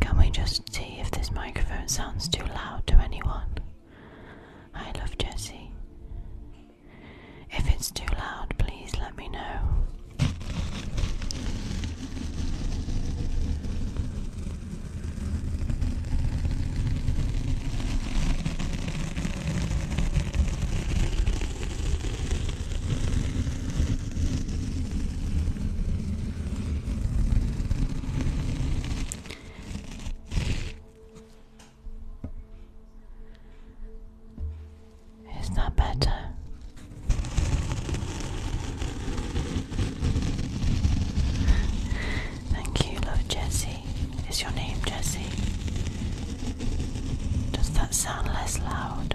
can we just see if this microphone sounds too loud to anyone? I love Jessie. If it's too loud, please let me know. Is that better? Thank you, love Jessie. Is your name Jesse? Does that sound less loud?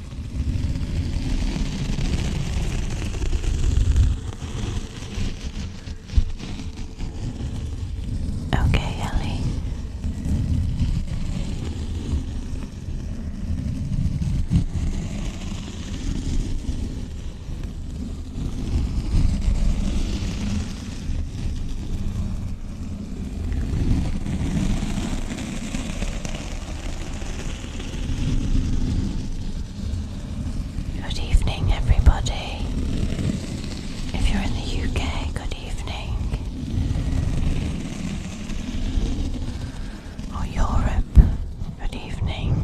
Okay, Ellie. Good evening, everybody. If you're in the UK, good evening. Or Europe, good evening.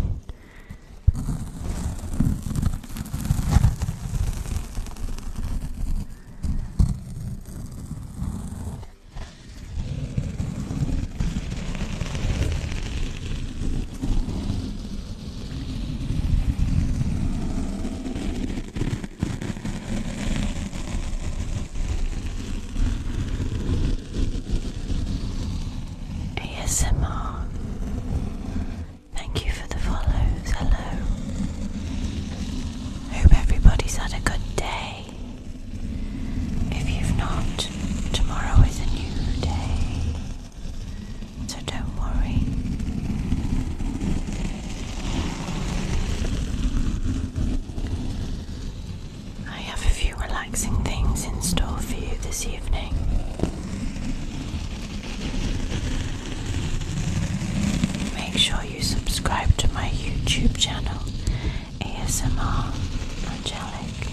ASMR. Thank you for the follows. Hello. Hope everybody's had a good day. If you've not, tomorrow is a new day. So don't worry. I have a few relaxing things in store for you this evening. Make sure you subscribe to my YouTube channel ASMR Angelic.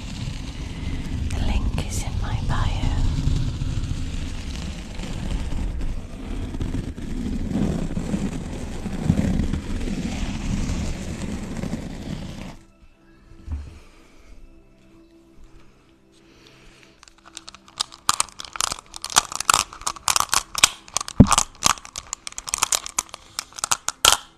The link is in my bio.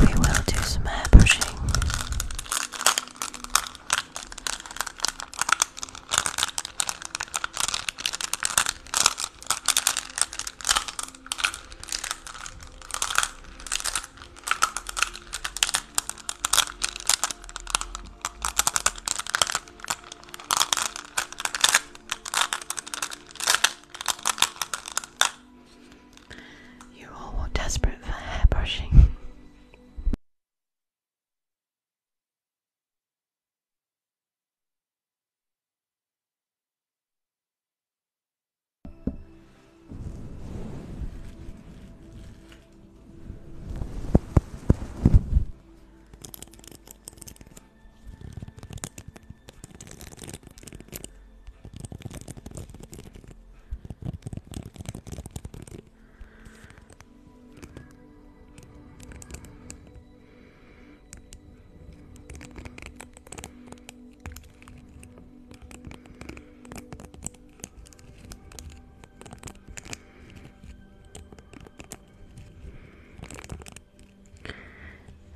We will do some hair you all desperate for hair brushing.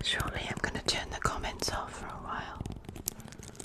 Surely, I'm going to turn the comments off for a while.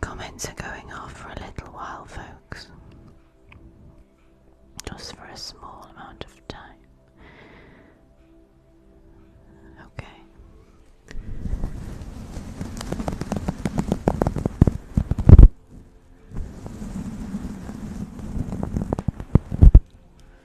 Comments are going off for a little while, folks. Just for a small amount of time. Okay.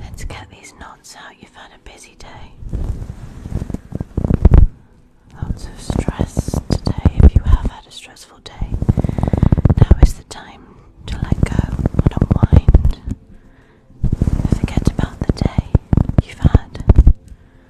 Let's get these knots out. You've had a busy day. Lots of stress today. If you have had a stressful day, now is the time to let go and unwind. Forget about the day you've had.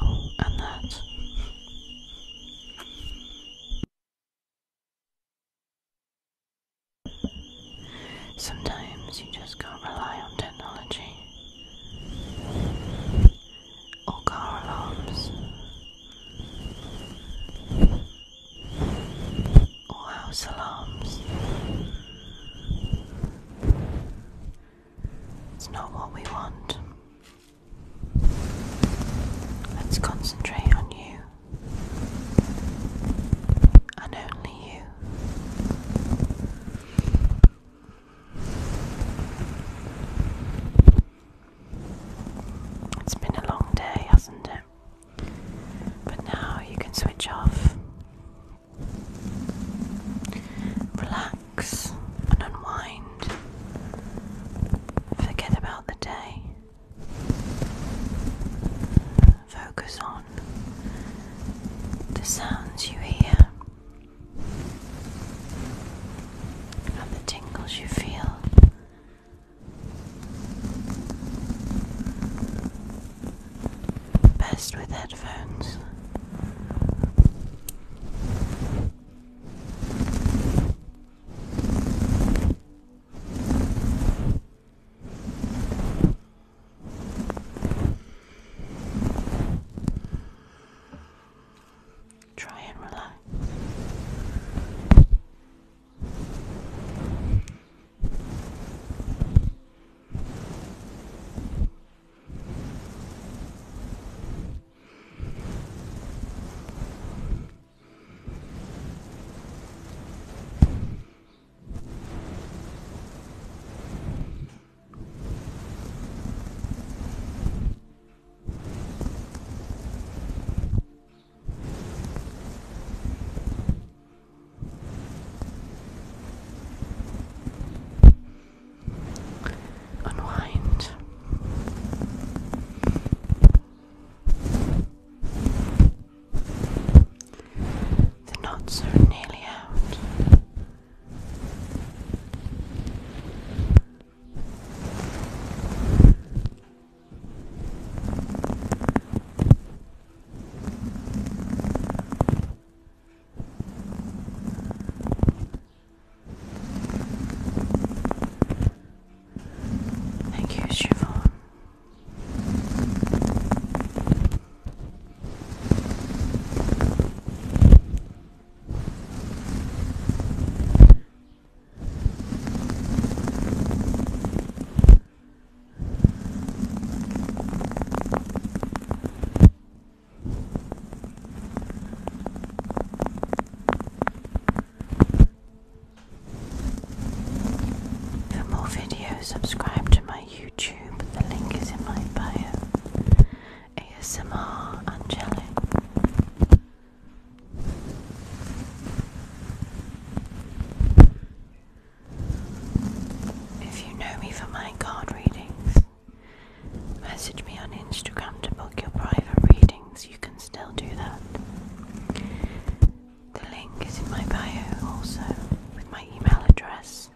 Oh, and that. Sometimes you just can't rely on technology or car alarms or house alarms. It's not what we want. Let's concentrate on you and only you. It's been a long day, hasn't it? But now you can switch off, relax, and unwind. Forget about the day. Focus on the sounds you hear and the tingles you feel. Best with headphones. Try and relax. Unwind. The knots are nearly out. Thank you, Siobhan. For more videos, subscribe to my YouTube. The link is in my bio. ASMR Angelic. If you know me for my card readings, message me on Instagram to book your private readings you can still do that. The link is in my bio also, with my email address.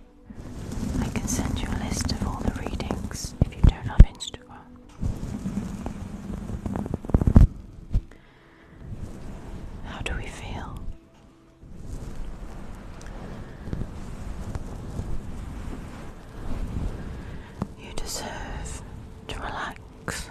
I can send you a list of all the readings if you don't have Instagram. How do we feel? You deserve to relax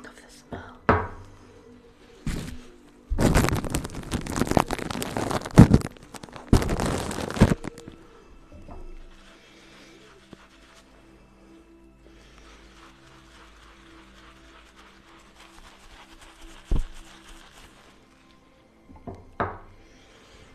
of the smell.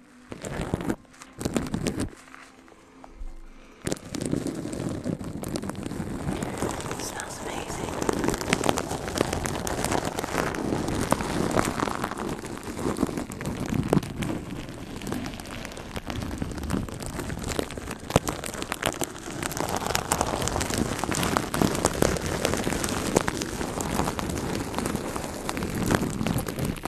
It smells amazing.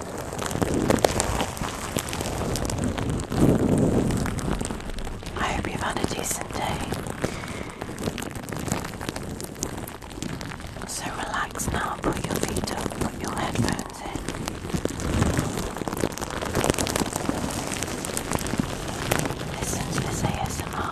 I hope you've had a decent day. So relax now, put your feet up, put your headphones in. Listen to this ASMR.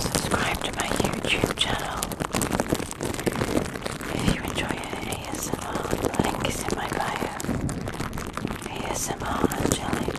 Subscribe to my YouTube channel if you enjoy ASMR. The link is in my bio. ASMR and jelly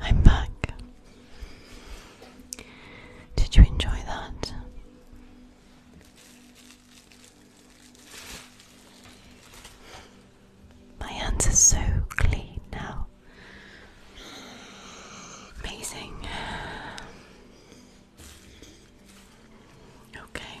I'm back. Did you enjoy that? My hands are so clean now. Amazing. Okay.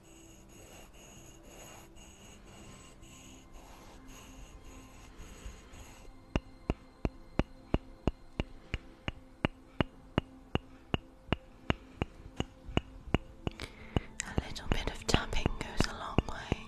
A little bit of tapping goes a long way.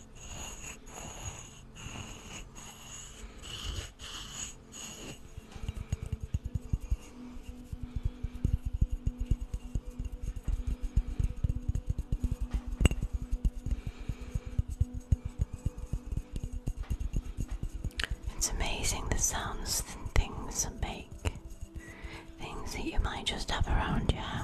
It's amazing the sounds and things make. Things that you might just have around your house.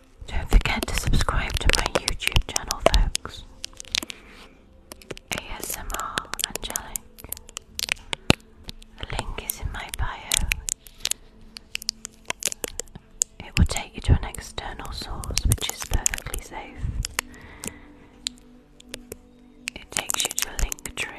Don't forget to subscribe to my YouTube channel, folks. ASMR Angelic. The link is in my bio. It will take you to an external source, which is perfectly safe. It takes you to a link tree.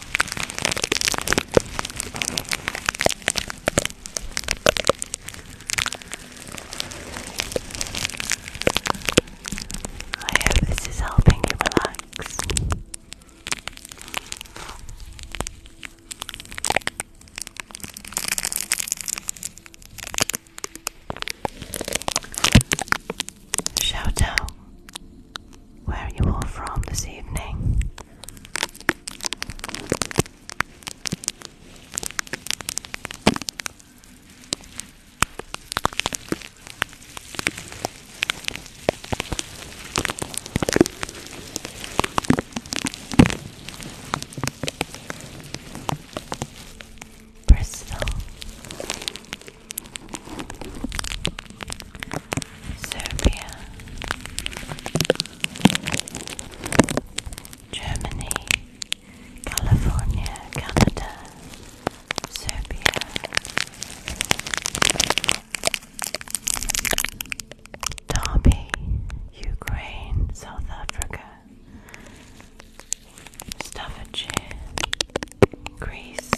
I hope this is helping you relax. Shout out where are you all from this evening? Bristol. Serbia, Germany, California, Canada, Serbia. Derby, Ukraine, South Africa, Staffordshire, Greece,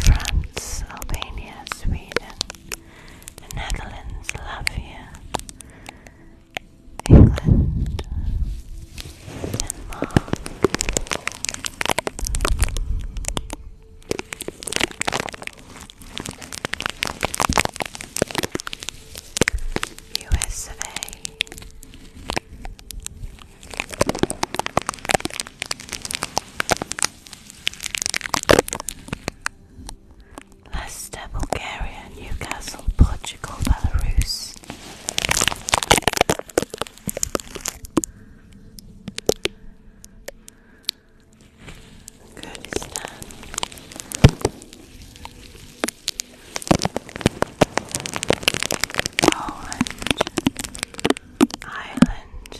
France, Albania, Sweden, the Netherlands, Latvia, England, Denmark. USA Leicester, Bulgaria, Newcastle, Portugal, Belarus. Kurdistan, Orange Island.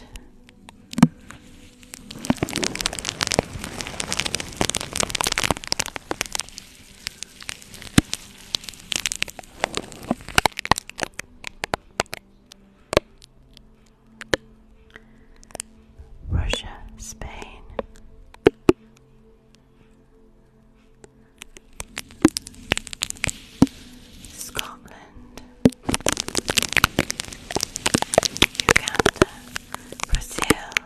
Russia, Spain, Scotland, Uganda, Brazil.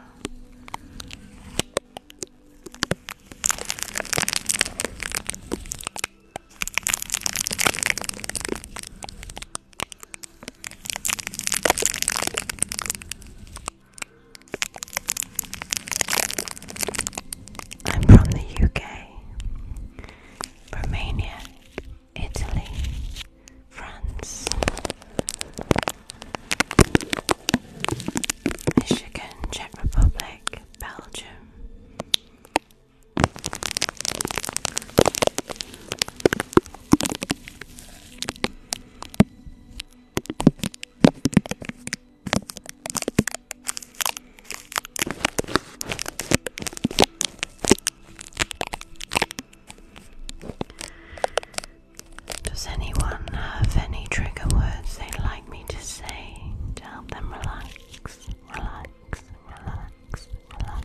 I'm from the UK, Romania, Italy, France, Michigan, Czech Republic, Belgium. Does anyone have any trigger words they'd like me to say to help them relax? Relax, relax, relax.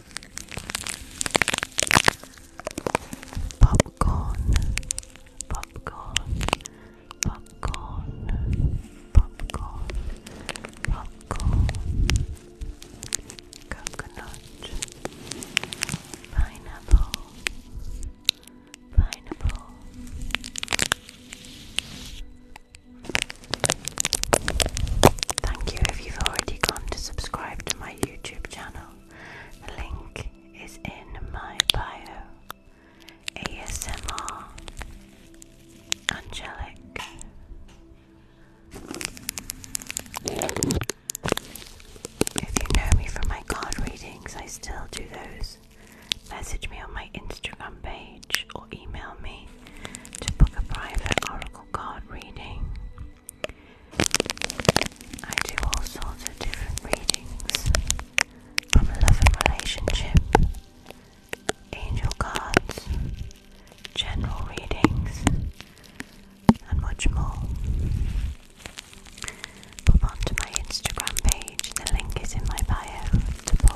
Popcorn, popcorn, popcorn, popcorn, popcorn, coconut, pineapple, pineapple. Thank you if you've already gone to subscribe to my YouTube channel. The link is in my bio. ASMR Angelic. If you know me from my card readings, I still do those. Message me on my Instagram page or email me to book a private oracle card reading. I do all sorts of different readings from love and relationship, angel cards, general readings, and much more. Pop onto my Instagram page, the link is in my bio to book.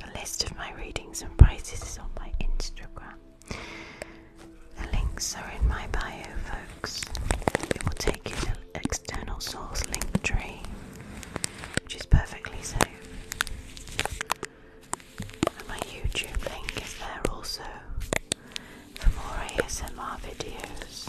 The list of my readings and prices is on my Instagram. The links are in my bio, folks. It will take you to external source link tree, which is perfectly safe. And my YouTube link is there also for more ASMR videos.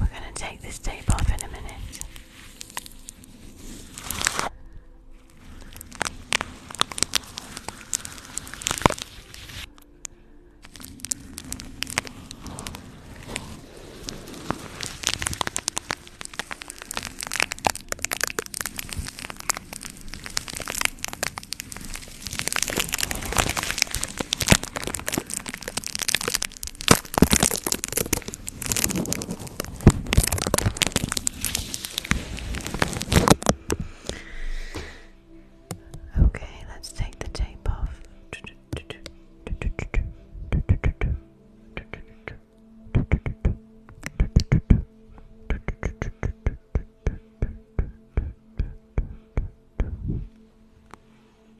We're going to take this tape off in a minute. Okay, let's take the tape off.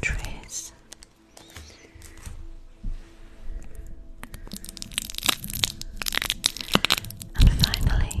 Trace. And finally,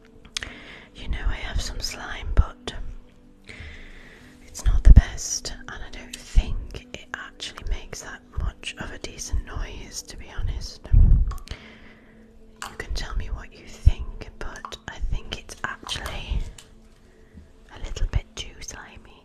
You know, I have some slime, but it's not the best, and I don't think it actually makes that much of a decent noise, to be honest. You can tell me what you think, but I think it's actually a little bit too slimy.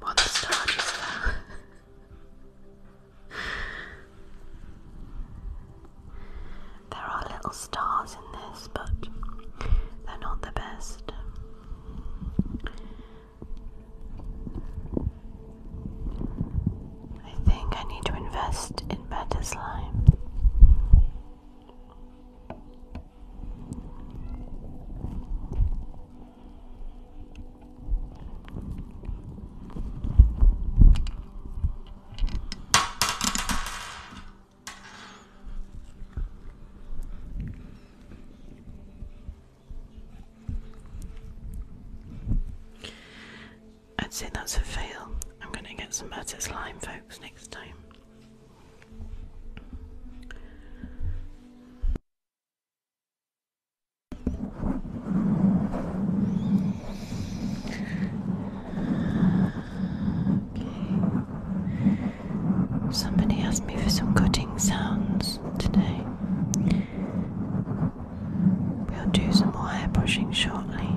One the just there. there are little stars in this, but they're not the best. I think I need to invest in better slime. I'd say that's a fail. I'm going to get some better slime, folks, next time. Somebody asked me for some cutting sounds today. We'll do some more hair brushing shortly.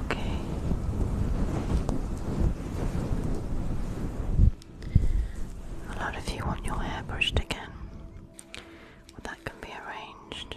Okay. A lot of you want your hair brushed again. that can be arranged.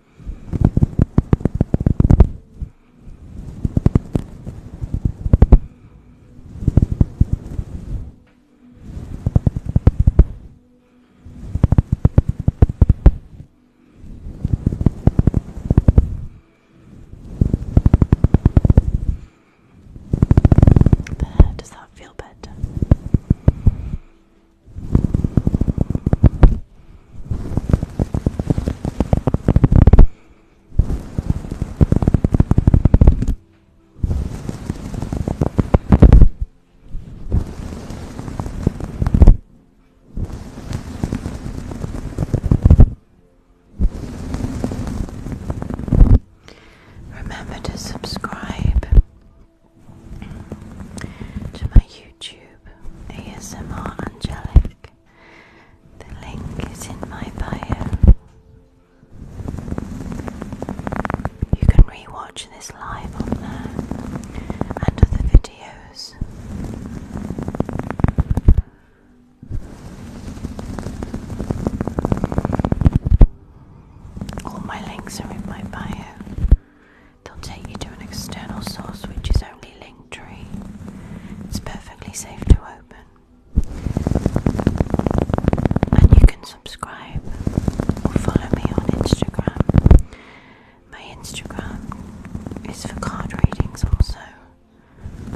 There, does that feel better? Remember to subscribe to my YouTube ASMR Angelic. The link is in my bio. You can re this live on there and other videos. All my links are in my bio. They'll take you to an external source which is only link tree. It's perfectly safe to open. And you can subscribe or follow me on Instagram. My Instagram is for card readings also.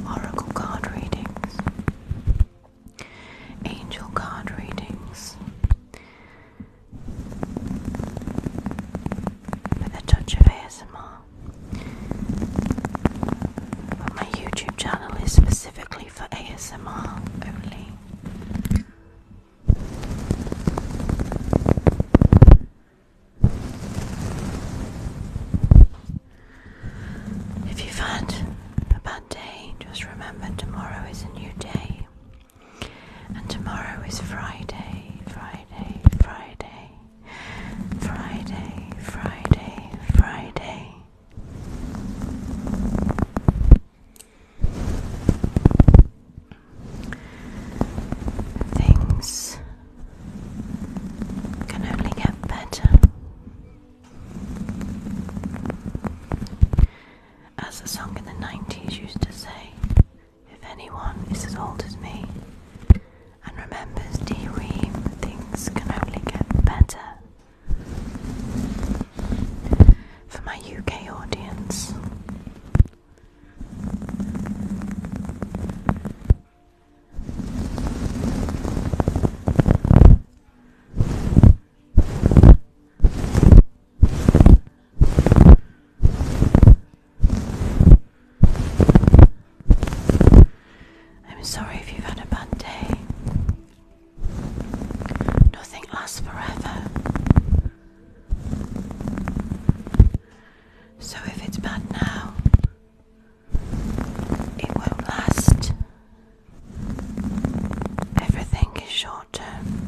Oracle card readings. Angel card readings. With a touch of ASMR my YouTube channel is specifically for ASMR only. If you've had a bad day, just remember tomorrow is a new day. And tomorrow is Friday, Friday, Friday. Friday, Friday, Friday. Things can only get better. As the song in the 90s used to say, if anyone is as old as me and remembers D-Ream, things can only get better. For my UK audience, I'm sorry if you've had a bad day. Nothing lasts forever. So if it's bad now, it won't last. Everything is short term.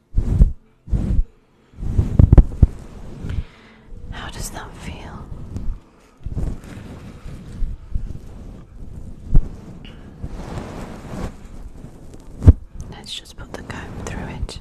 How does that feel? Let's just put the comb through it.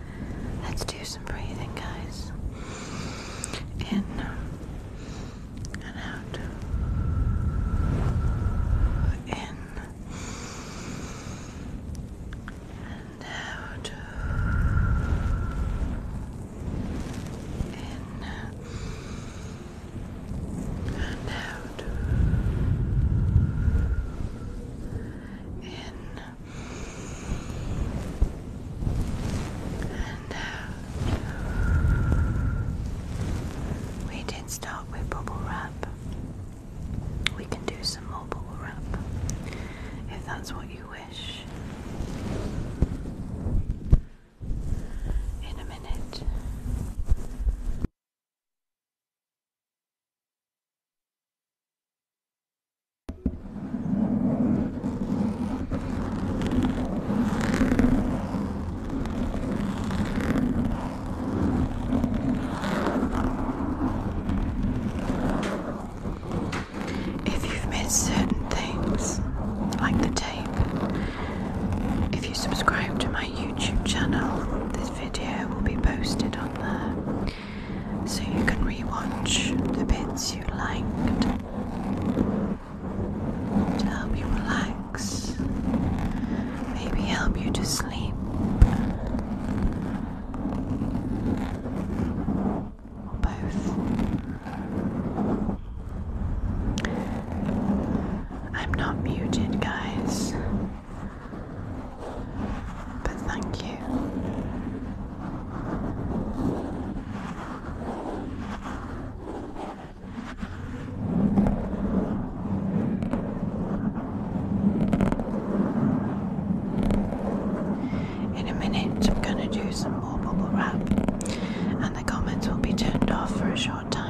Let's do some breathing, guys. In uh, and out. In and out. In and out. In uh, we did start with bubble wrap. We can do some more bubble wrap if that's what you wish. In a minute. If you've missed certain things, like the tape, if you subscribe to my YouTube channel, this video will be posted on there so you can rewatch the bits you liked to help you relax, maybe help you to sleep. Or both. I'm not muted, guys. But thank you in a minute, I'm going to do some more bubble wrap, and the comments will be turned off for a short time.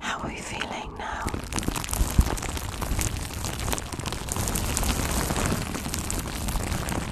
How are we feeling now?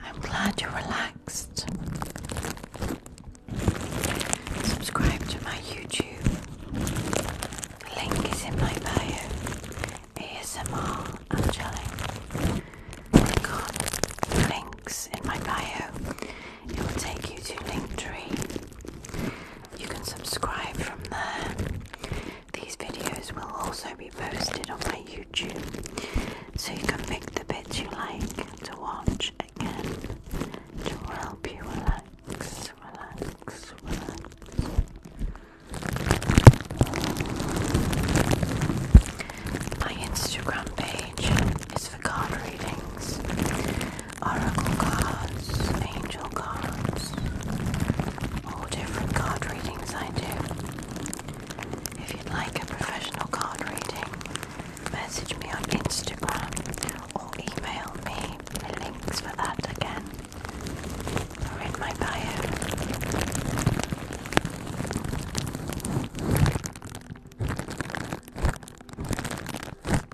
I'm glad you're relaxed. Subscribe to my YouTube. The link is in my bio. ASMR Angelic. Click links in my bio it will take you to Linktree. You can subscribe from there. These videos will also be posted on my YouTube, so you can pick the bits you like to watch again. to help you relax, relax. My Instagram page is card readings, oracle cards, angel cards, all different card readings I do. If you'd like a professional card reading, message me on Instagram or email me. links for that again are in my bio.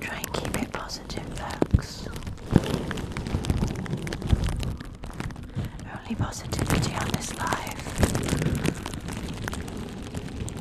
Try and keep it positive, folks. Only positivity on this life.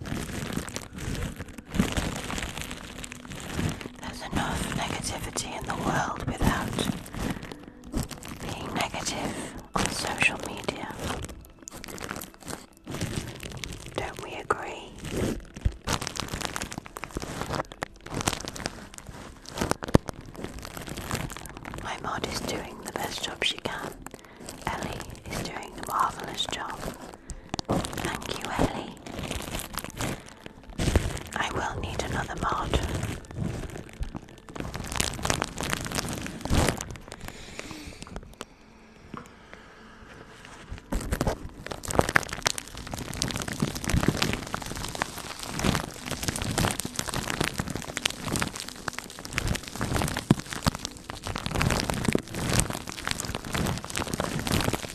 There's enough negativity in the world without being negative on social media. Don't we agree? My mod is doing the best job she can. Ellie is doing a marvellous job. Thank you, Ellie. I will need another mod.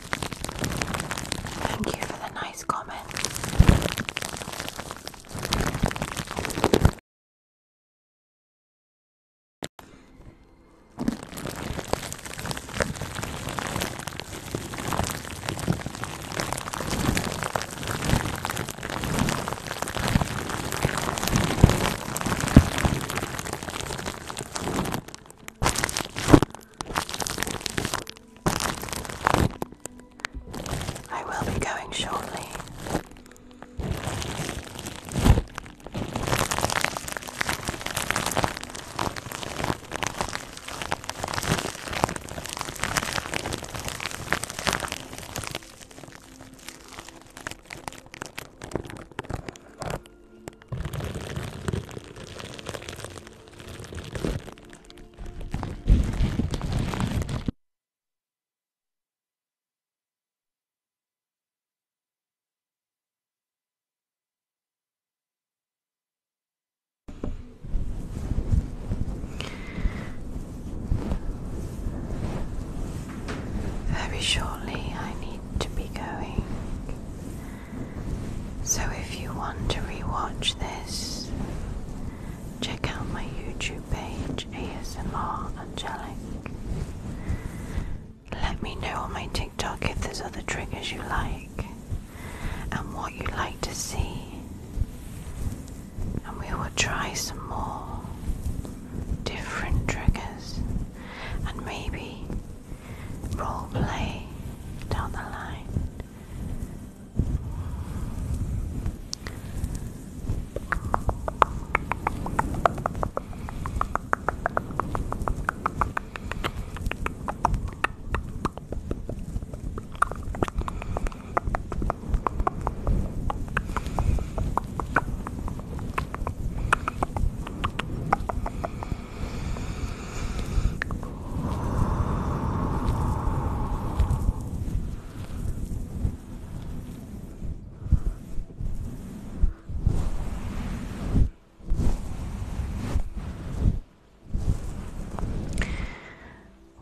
Thank you for the nice comment. I will be going shortly. Very shortly, I need to be going. So if you want to rewatch this, check out my YouTube page ASMR Angelic. Let me know on my TikTok if there's other triggers you like and what you'd like to see. And we will try some more different triggers and maybe role play down the line.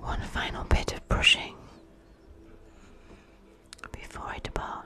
One final bit of brushing before I depart.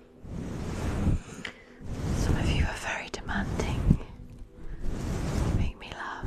Some of you are very demanding. Make me laugh.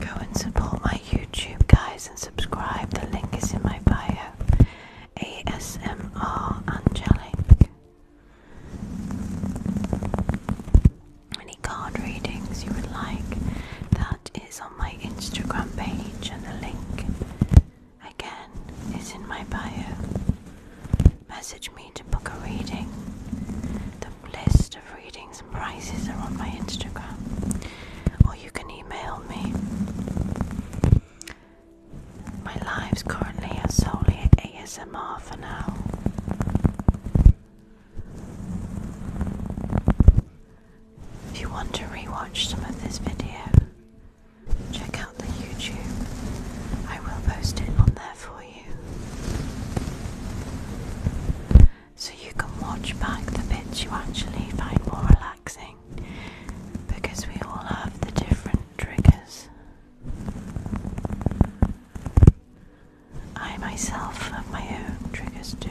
Go and support my YouTube guys and subscribe. The link is in my bio. ASMR Angelic. Any card readings you would like? That is on my Instagram page, and the link again is in my bio. Message me to book a reading. The list of readings and prices are on my Instagram, or you can email me. My life's currently are solely ASMR for now. If you want to rewatch some of this video, check out the YouTube. I will post it on there for you. So you can watch back the bits you actually find more relaxing because we all have the different triggers. I myself have my own triggers too.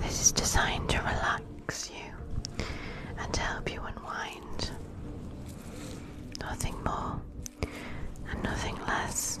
This is designed to relax you and to help you unwind. Nothing more and nothing less.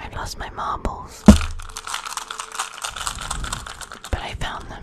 I've lost my marbles, but I found them.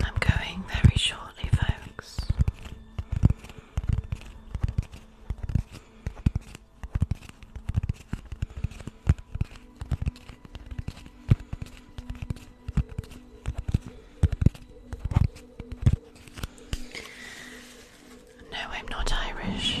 I'm going very shortly, folks. No, I'm not Irish.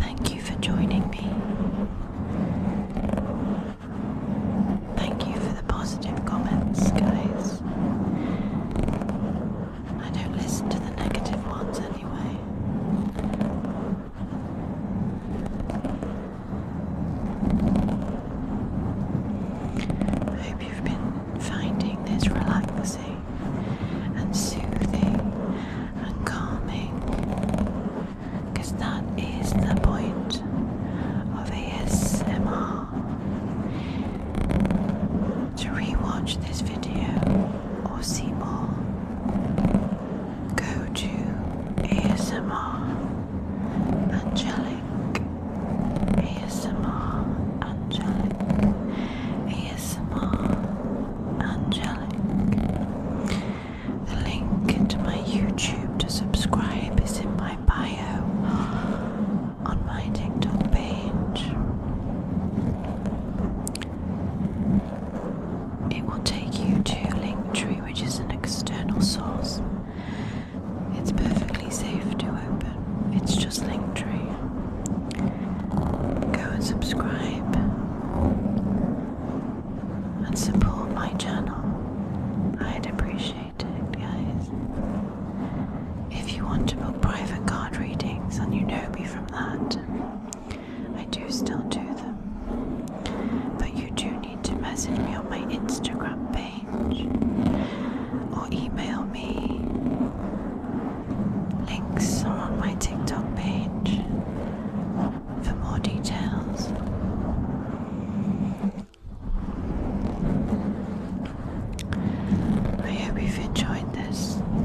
Thank you for joining me. Thank you for the positive comments, guys. I don't listen to the negative ones anyway. I hope you've been finding this relaxing and soothing and calming that is the point of ASMR to rewatch this video or see more, go to ASMR Angelic, ASMR Angelic, ASMR Angelic. The link to my YouTube to subscribe is in my bio on my TikTok page. It will take you to Linktree, which is an external source. It's perfectly safe to open. It's just Linktree. Go and subscribe and support my channel. I'd appreciate it, guys. If you want to book private card readings and you know me from that, I do still do them. But you do need to message me on my Instagram page or email me. Links are on my TikTok page for more details. I hope you've enjoyed this.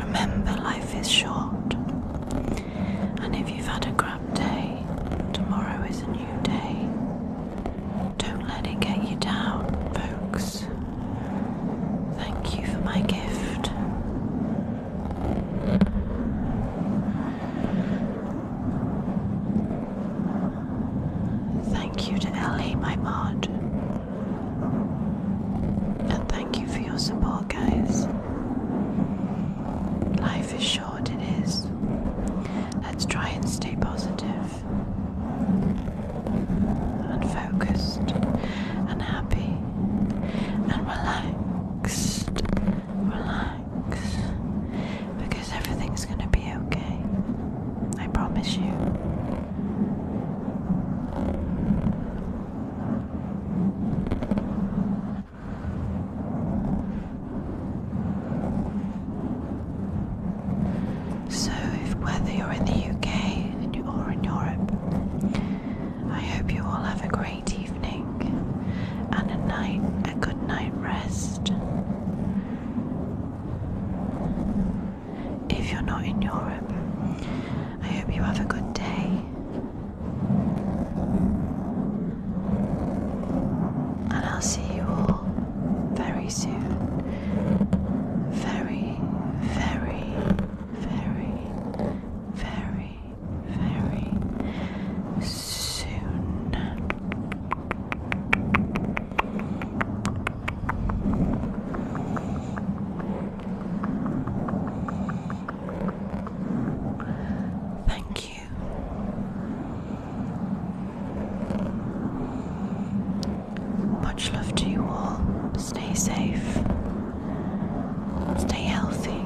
Remember, life is short, and if you've had a crap day, tomorrow is a new day. Don't let it get you down, folks. Thank you for my gift. Thank you to Ellie, my mod. And thank you for your support, guys. Life is short, it is. Let's try and stay positive and focused and happy and relaxed. Relaxed because everything's going to be okay. I promise you. So, if, whether you're in the UK or in Europe, I hope you all have a great evening and a night a good night rest. If you're not in Europe, I hope you have a good day. And I'll see you all very soon. Very, very, very, very, very soon. Thank you much love to you all. Stay safe. Stay healthy.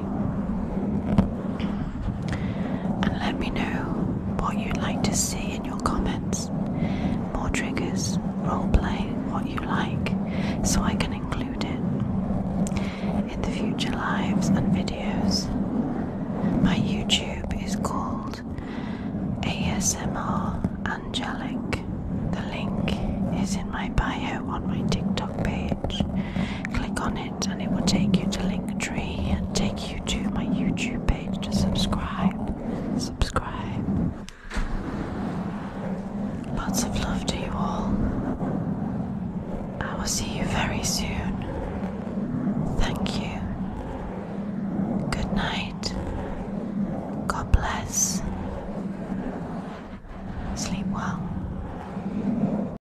And let me know what you'd like to see in your comments. More triggers, roleplay, what you like, so I can include it in the future lives and videos. My YouTube is called ASMR Angelic. The link is in my bio on my TikTok page. Click on it and it will take you to Linktree and take you to my YouTube page to subscribe. Subscribe. Lots of love to you all. I will see you very soon. Thank you. Good night. God bless. Sleep well.